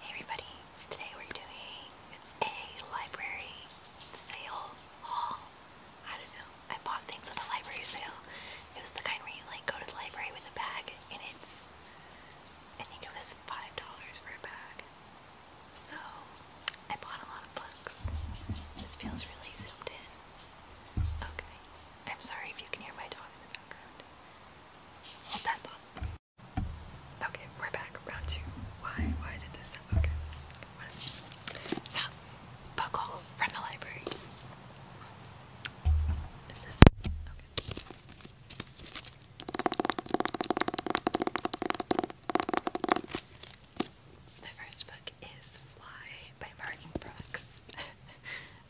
Hey everybody, today we're doing a library sale haul. I don't know, I bought things at a library sale. It was the kind where you like go to the library with a bag and it's, I think it was $5 for a bag. So, I bought a lot of books. This feels really zoomed in. Okay, I'm sorry if you can hear my dog in the background. Okay, we're back. Round two. Why? Why did this happen? Okay. One. So, buckle from the library. this? Okay. The first book is Fly by Martin Brooks,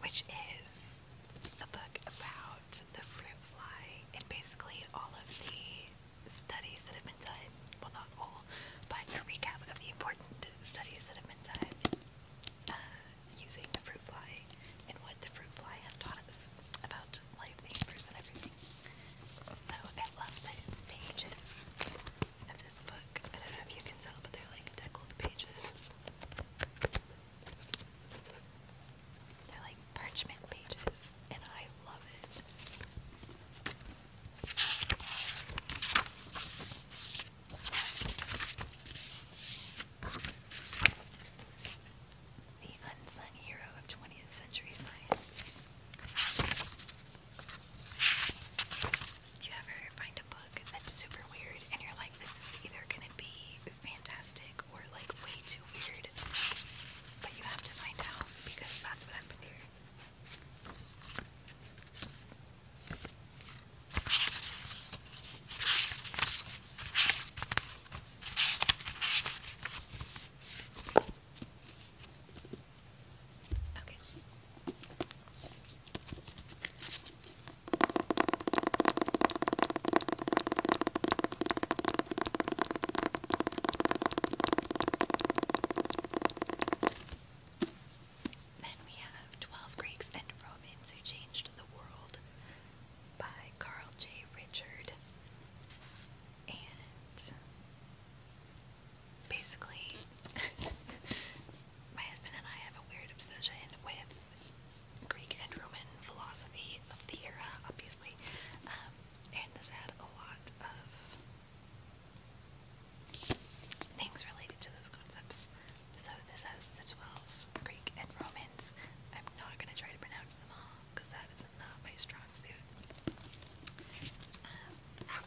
which is a book about about the fruit fly and basically all of the studies that have been done. Well, not all, but a recap of the important studies that have been done uh, using the fruit fly and what the fruit fly has taught us about life, the universe, and everything. So I love that pages of this book. I don't know if you can tell, but they're like deckled pages. They're like parchment pages, and I love it. The unsung hero of 20th century science. Do you ever find a book that's super weird and you're like, this is either going to be fantastic or like way too weird. But you have to find out because that's what happened here. Okay. Then we have Twelve Greeks and Romans Who Changed the World by Carl J. Richard. And basically, my husband and I have a weird obsession with Greek and Roman philosophy of the era, obviously, um, and this had a lot of things related to those concepts. So this has the 12 Greek and Romans. I'm not going to try to pronounce them all because that is not my strong suit. Um,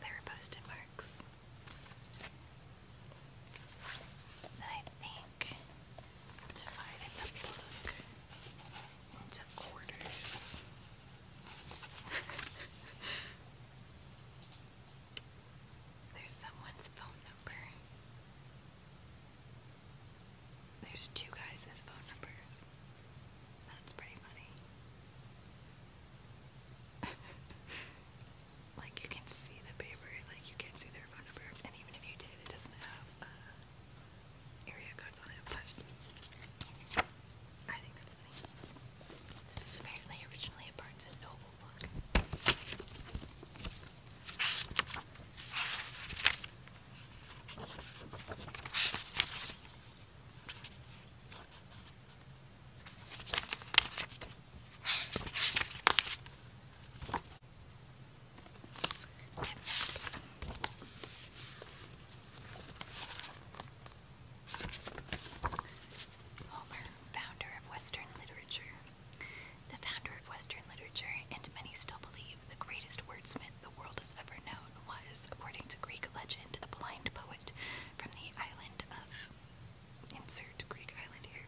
They were post-it I think divided the book into quarters. There's someone's phone number. There's two guys' phone numbers. That's pretty funny. like you can see the paper, like you can see their phone and even if you did, it doesn't have uh, area codes on it. But I think that's funny. This was apparently originally a Barnes and Noble book. Homer, founder of Western literature. The founder of Western literature, and many still believe the greatest wordsmith the world has ever known, was, according to Greek legend, a blind poet from the island of insert Greek island here.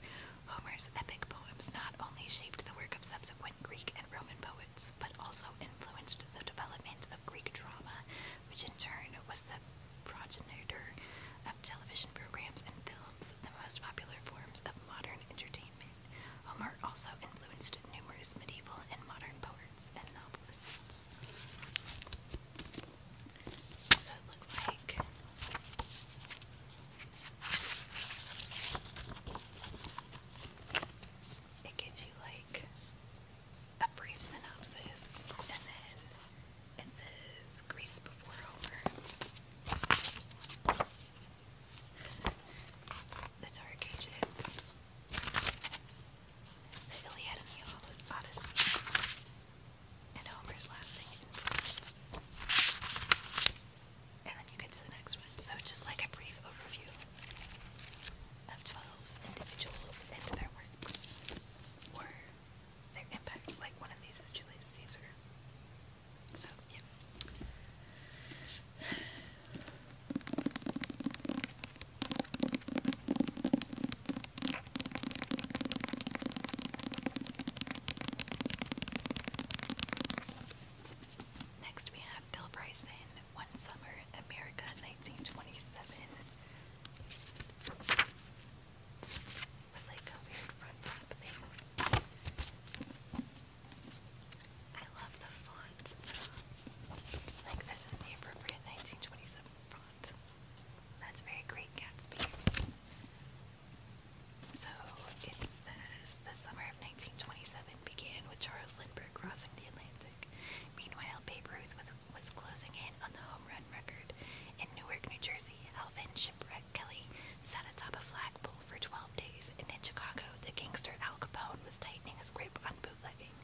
Homer's epic poems not only shaped the work of subsequent Greek and Roman poets, but also influenced the development of Greek drama, which in turn was the progenitor of television programs and films, the most popular forms of modern entertainment. Homer also influenced numerous medieval and modern poets it gives you like a brief synopsis and then it says Greece before Homer. The Dark Ages. The Iliad and the Odyssey, and Homer's lasting influence. And then you get to the next one. So, just like a brief overview of 12 individuals and their works or their impact. Like, one of these is Julius Caesar. So, yeah. Next, we have Bill Bryson, One Summer, America, 1927. With like a weird front flap I love the font. Like this is the appropriate 1927 font. That's very Great Gatsby. So it says the summer of 1927 began with Charles Lindbergh crossing the Atlantic. Meanwhile, Babe Ruth was closing in on the home run record. In Newark, New Jersey, Alvin Shipwreck Kelly sat atop a flagpole for 12 days, and in Chicago, the gangster Al Capone was tightening his grip on bootlegging.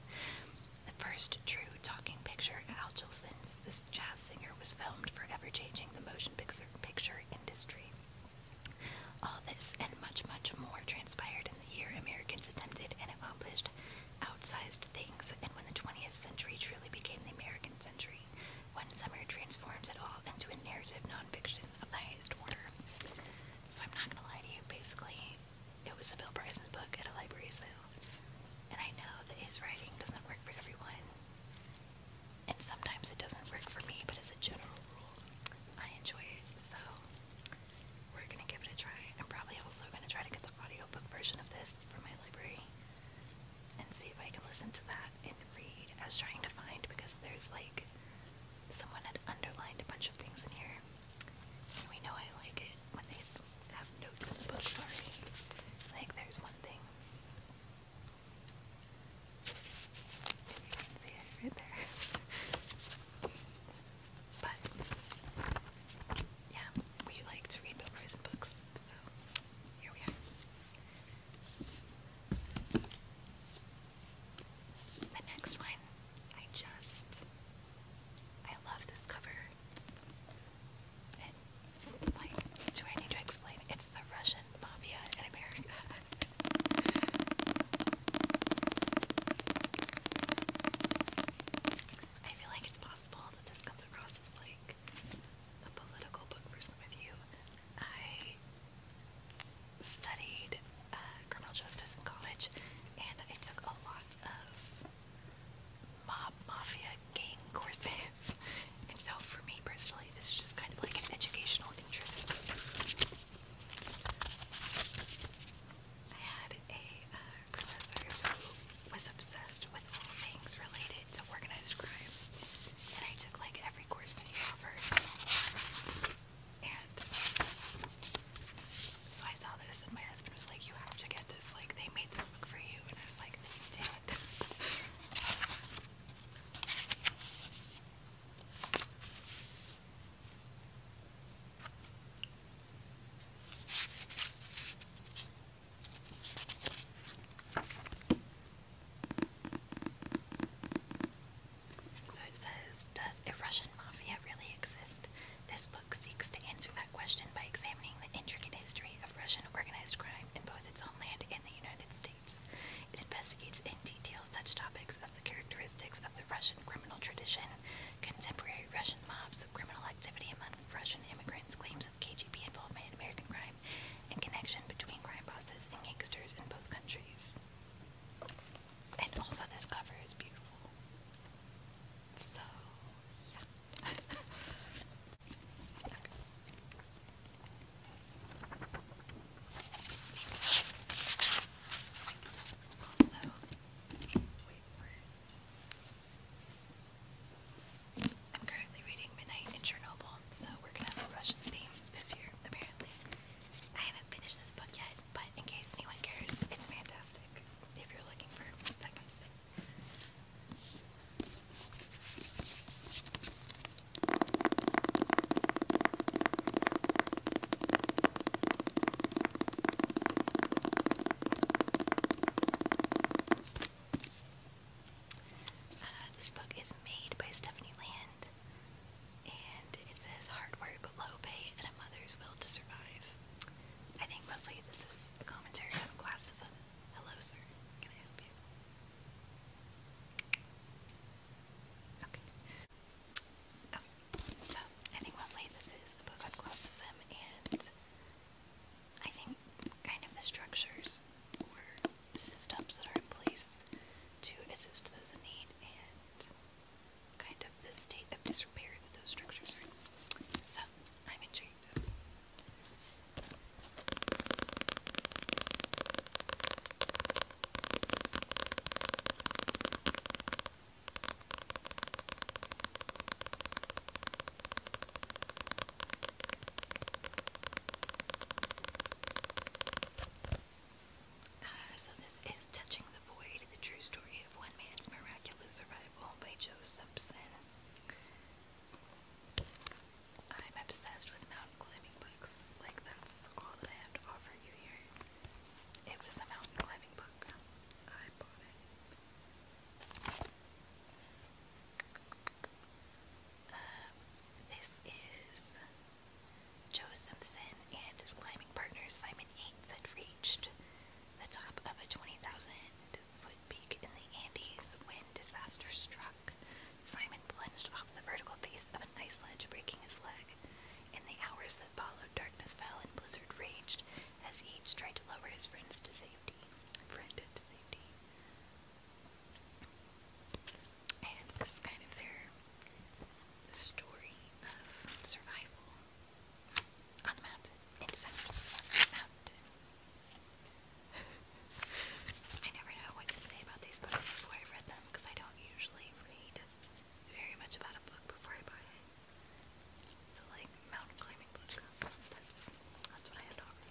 The first true talking picture Al since this jazz singer was filmed, forever changing the motion picture, industry. All this and much, much more transpired in the year Americans attempted and accomplished outsized things, and when the 20th century truly became the American century, when summer transforms it all into a narrative nonfiction of the highest order. So I'm not gonna lie to you, basically, it was a Bill Bryson book at a library sale, and I know that his writing doesn't work for everyone. And sometimes it doesn't work for me, but as a general rule, I enjoy it, so we're gonna give it a try. I'm probably also gonna try to get the audiobook version of this from my library and see if I can listen to that and read. I was trying to find because there's like someone had underlined a bunch of things in here. We know I like it when they have notes in the books already. Like, there's one thing. Maybe you can see it right there. but, yeah, we like to read Bill Bryson books, so here we are. The next one, I just, I love this cover. And do I need to explain? It's the Russian mafia in America. I feel like it's possible that this comes across as like a political book for some of you. I studied uh, criminal justice in college, and I took a lot of mob, mafia, gang courses. and so, for me personally, this is just kind of like an educational interest. I had a uh, professor who was obsessed with all things related to organized crime, and I took like every course that he offered. And so I saw this, and my husband was like, "You have to get this. Like, they made this book for you." And I was like, "Damn it." So it says Does a Russian mafia really exist? This book seeks to answer that question by examining the intricate history of Russian organized crime in both its homeland and the United States. It investigates in detail such topics as the characteristics of the Russian criminal tradition, contemporary Russian mobs, criminal activity among Russian immigrants, claims of KGB involvement in American crime, and connection between crime bosses and gangsters in both countries. And also, this cover is beautiful. So, yeah. Also, I'm currently reading Midnight in Chernobyl, so we're gonna have a Russian theme this year, apparently. I haven't finished this book yet, but in case anyone cares, it's fantastic if you're looking for uh, this book is made by Stephanie Land, and it says hard work, low pay, and a mother's will to survive. I think mostly this is a commentary on classes of hello sir. Can I help you? Okay. Oh, so I think mostly this is a book on classism and I think kind of the structures or systems that are in place to assist those in need and kind of the state of disrepair that those structures are in. So, I'm intrigued. Uh, so this is Touching the Void, the true story of one man's miraculous survival by Joe Simpson. I'm obsessed with mountain climbing books. Like that's all that I have to offer you here. It was a mountain climbing book. I bought it. Uh, this is Joe Simpson and his climbing partner Simon Yates had reached the top of a 20,000 foot peak in the Andes when disaster struck. Simon plunged off the vertical face of an ice ledge, breaking his leg. In the hours that followed, darkness fell and blizzard raged as Yates tried to lower his friends Friend to safety. And this is kind of their story of survival on the mountain. I never know what to say about these books before i read them because I don't usually read very much about a book before I buy it. So like mountain climbing book. That's that's what I had to offer.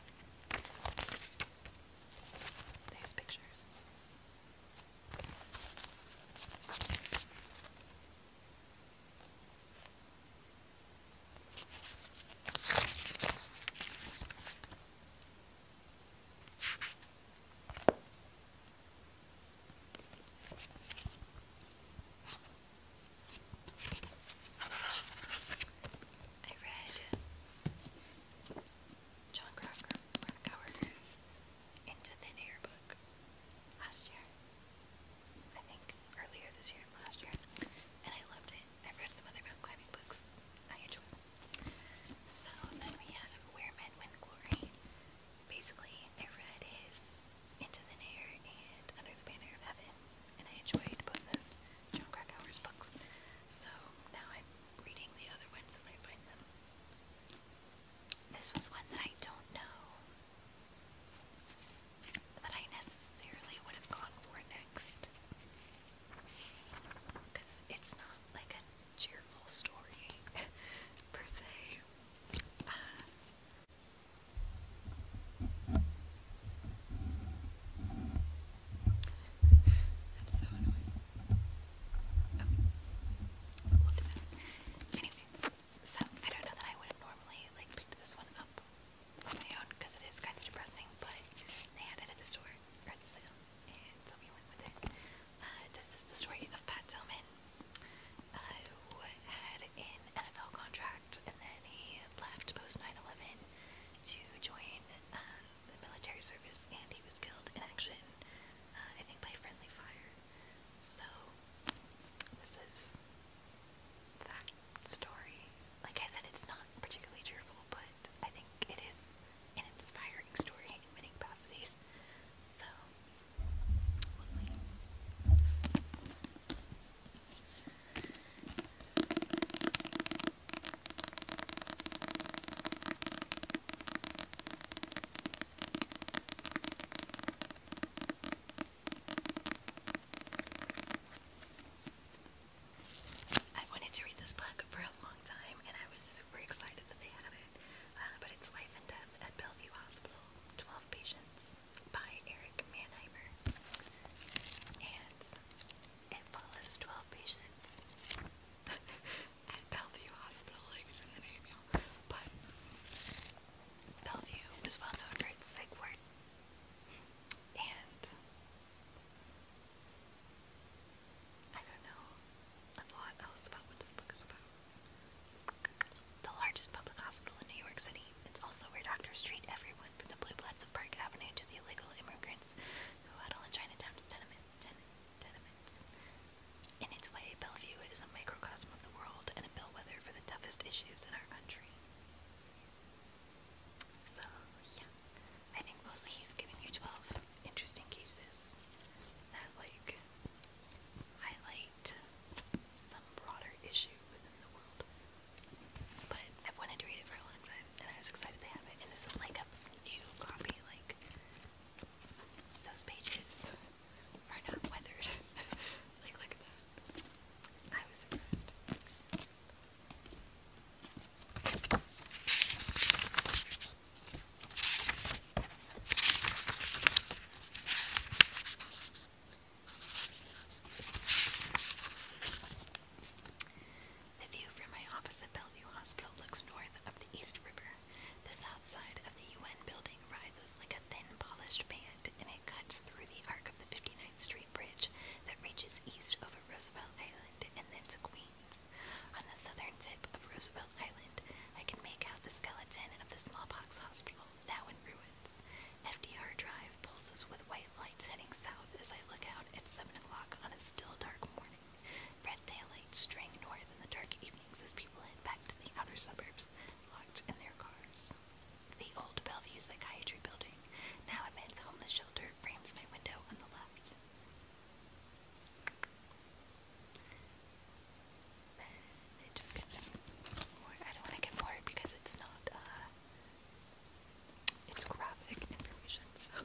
There's pictures. I read John Crocker, Coworkers Into Thin Air book last year. I think earlier this year, last year. And I loved it. I've read some other mountain climbing books. I enjoy them. So then we have Where Men Win Glory. Basically, I read his Into Thin Air and Under the Banner of Heaven. And I enjoyed both of John Krakauer's books. So now I'm reading the other ones as I find them. This was one that I don't know that I necessarily would have gone for next. Because it's not like a cheerful story, per se so I don't know that I would have normally like picked this one up on my own because it is kind of depressing, but they had it at the store at the sale, and so we went with it. Uh, this is the story of Pat Tillman, uh, who had an NFL contract and then he left post 9/11 to join. Um, the military service, and he was killed in action, uh, I think by friendly fire. So, this is that story. Like I said, it's not particularly cheerful, but I think it is an inspiring story in many capacities. So, we'll see. I wanted to read this book for a long time and I was super excited that they had it. Uh, but it's Life and Death at Bellevue Hospital 12 Patients by Eric Mannheimer. And it follows 12 patients. at Bellevue Hospital, like it's in the name, y'all. But Bellevue was well known for its like word and I don't know a lot else about what this book is about. The largest public hospital in New York City. It's also where doctors treat everyone from the blue bloods of Park Avenue to the illegal immigrants who huddle in Chinatown's tenement ten tenements. In its way, Bellevue is a microcosm of the world and a bellwether for the toughest issues in our country. So, yeah. I think mostly he's given you 12 interesting cases that, like, highlight some broader issue within the world. But I've wanted to read it for a long time, and I was excited to have it. And this is like a new copy, like, those pages are not weathered. like look at that. I was surprised. The view from my office at Bellevue Hospital looks north of the East River. The south side of the UN building rises like a thin polished band and it cuts through the arc of the 59th Street Bridge that reaches east over Roosevelt Island and then to Queens. On the southern tip of Roosevelt Island, I can make out the skeleton of the smallpox hospital, now in ruins. FDR Drive pulses with white lights heading south as I look out at 7 o'clock on a still dark morning. Red taillights straying north in the dark evenings as people head back to the outer suburbs, locked in their cars. The old Bellevue Psychiatry Building, now a men's homeless shelter, frames my window on the left. Then it just gets more. I don't want to get more because it's not, uh, it's graphic information, so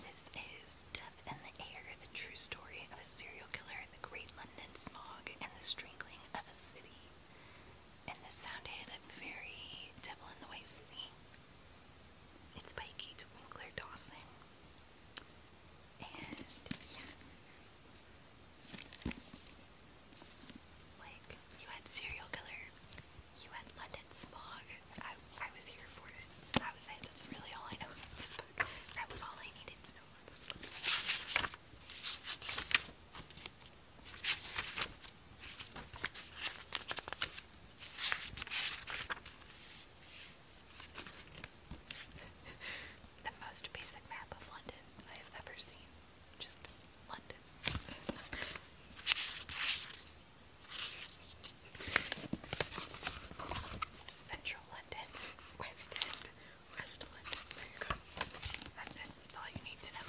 This is Death in the Air, the true story of a serial killer, the great London smog, and the strangling of a city. And this sounded very Devil in the White City. It's by Kate Winkler Dawson. And yeah. Like, you had serial killer, you had London smog. I, I was here for it. That was it. That's really all I know That was all I needed to know the most basic map of London I have ever seen. Just London. Central London, West End, West London. That's it. That's all you need to know.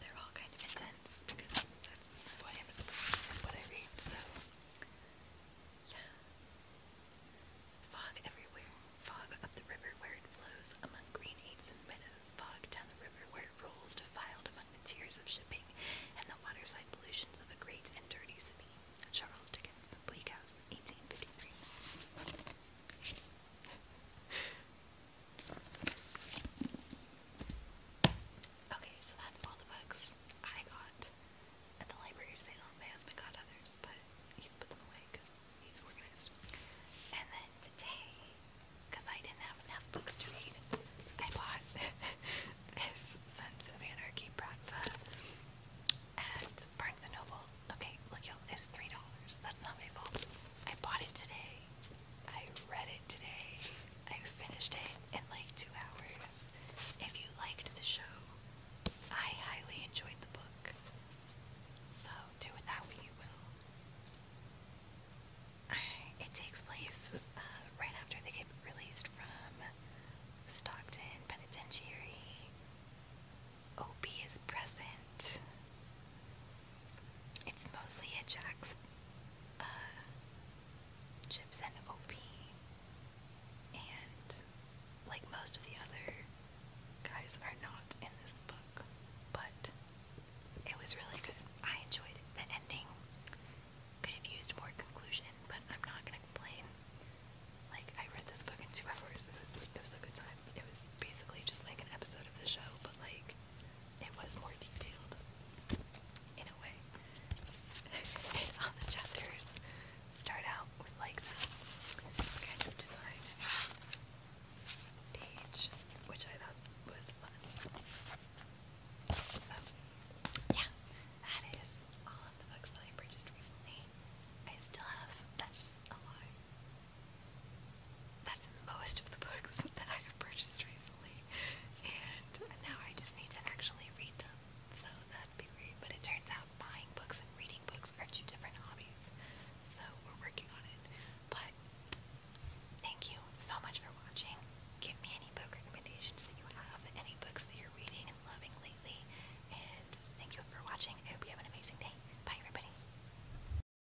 they're Fog everywhere. Fog up the river where it flows among green apes and meadows. Fog down the river where it rolls defiled among the tears of shipping and the waterside pollutions of a great and dirty city. Charles Dickens, Bleak House, 1853. Okay, so that's all the books I got at the library sale. My husband got others, but he's put them away because he's organized. And then today, because I didn't have enough books to read, I bought this Sons of Anarchy Bratva at Barnes & Noble. Okay, look y'all, it's $3. That's not my fault. I bought it today I read it today. I finished it in like two hours. If you liked the show, I highly enjoyed the book. So do with that you will. It takes place uh, right after they get released from Stockton Penitentiary. Opie is present. It's mostly a Jack's uh, chips and like most of the other guys are not in this book, but it was really good. I enjoyed The ending could have used more conclusion, but I'm not gonna complain. Like I read this book in two hours. it was a good time. It was basically just like an episode of the show, but like it was more detailed in a way. all the chapters start out like that kind design page, which I thought was fun. So, yeah, that is all of the books that I purchased recently. I still have, that's a lie, that's most of the books that I have purchased recently, and now I just need to actually read them, so that'd be great. But it turns out buying books and reading books are two different hobbies, so we're working on it. But thank you so much for watching. Give me any book recommendations that you have, any books that you're reading and loving lately, and thank you for watching. I hope you have an amazing day. Bye, everybody.